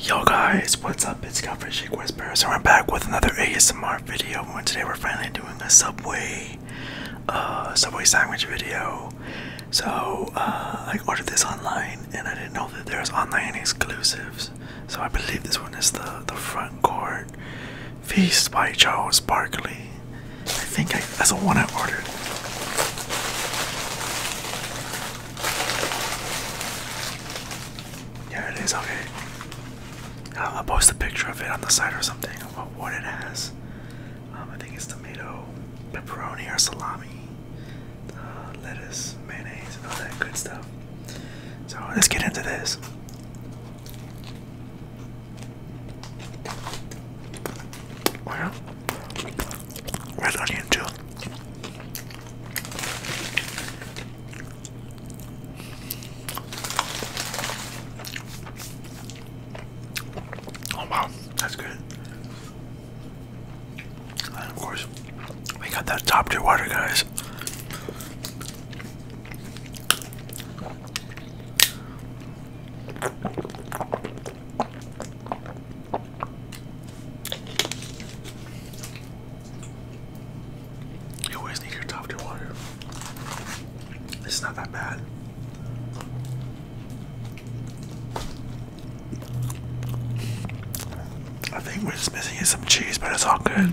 Yo guys, what's up? It's Calvin Shake Whisperer. So we're back with another ASMR video. And today we're finally doing a Subway, uh, Subway sandwich video. So uh, I ordered this online, and I didn't know that there was online exclusives. So I believe this one is the the front court feast by Charles Barkley. I think that's the one I ordered. Yeah, it is okay. I'll, post a picture of it on the side or something about what it has. Um, I think it's tomato, pepperoni, or salami, uh, lettuce, mayonnaise, and all that good stuff. So let's get into this. Well, red onion too. Oh wow, that's good. And of course, we got that top tier water, guys. You always need your tufted water. It's not that bad. I think we what's missing some cheese, but it's all good.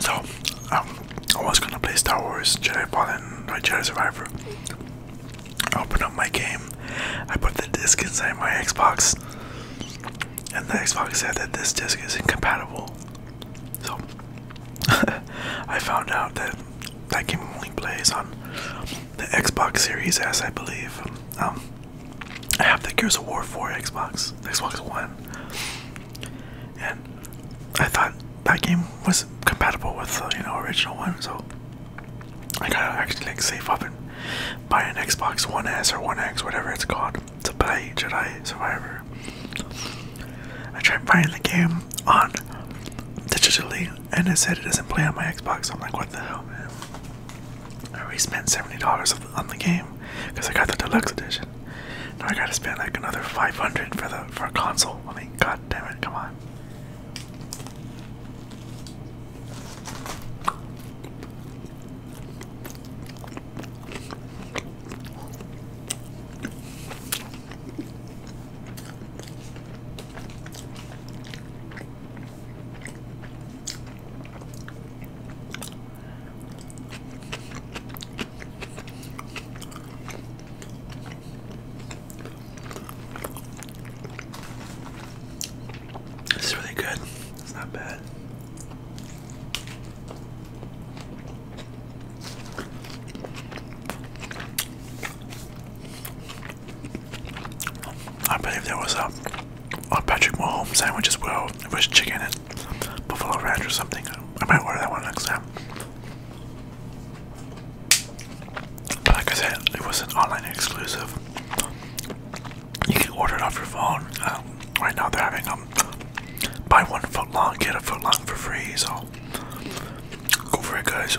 So, um, I was gonna play Star Wars Jedi Fallen, no, Jedi Survivor. I opened up my game, I put the disc inside my Xbox, and the Xbox said that this disc is incompatible. So, I found out that that game only plays on the Xbox Series S, I believe. Um, I have the Gears of War 4 Xbox, Xbox One, and I thought that game was compatible with the you know original one, so I gotta actually like save up and buy an Xbox One S or One X, whatever it's called, to play Jedi Survivor. I tried buying the game on digitally and it said it doesn't play on my Xbox. So I'm like, what the hell, man? I already spent $70 on the game because I got the deluxe edition. Now I gotta spend like another 500 for the for a console. I mean, god damn it, come on. It's really good. It's not bad. I believe there was a, Patrick Mahomes sandwich as well. with chicken and buffalo ranch or something. I might order that one next time. But like I said, it was an online exclusive. You can order it off your phone. Um, right now they're having um buy one foot long, get a foot long for free. So Go for it, guys.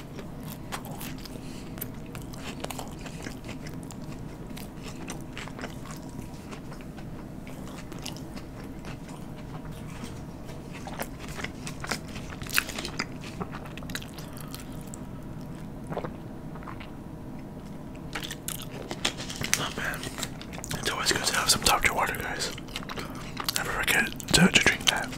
Oh, Not It's always good to have some Dr. Water, guys. Never forget to drink that.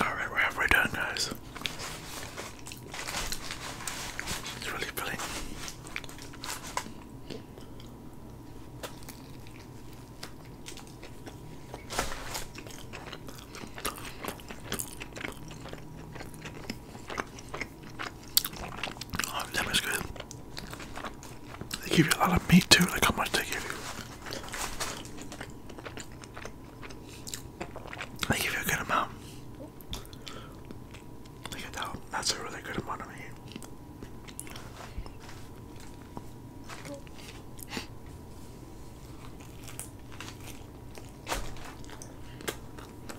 Alright, we're halfway done, guys. It's really filling. Oh, that was good. They give you a lot of meat too, like how much they give you. They give you a good amount. Look at that, that's a really good amount of meat.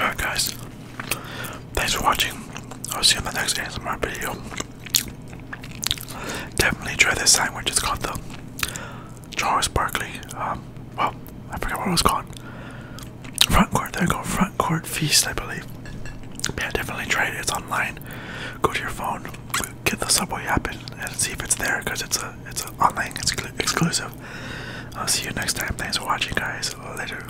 Alright guys, thanks for watching. I'll see you in the next ASMR video. Definitely try this sandwich. It's called the Charles Barkley. Um, well, I forget what it was called. Front Court. There you go. Front Court Feast, I believe. Yeah, definitely try it. It's online. Go to your phone, get the Subway app, and, see if it's there because it's a it's a online exclu exclusive. I'll see you next time. Thanks for watching, guys. Later.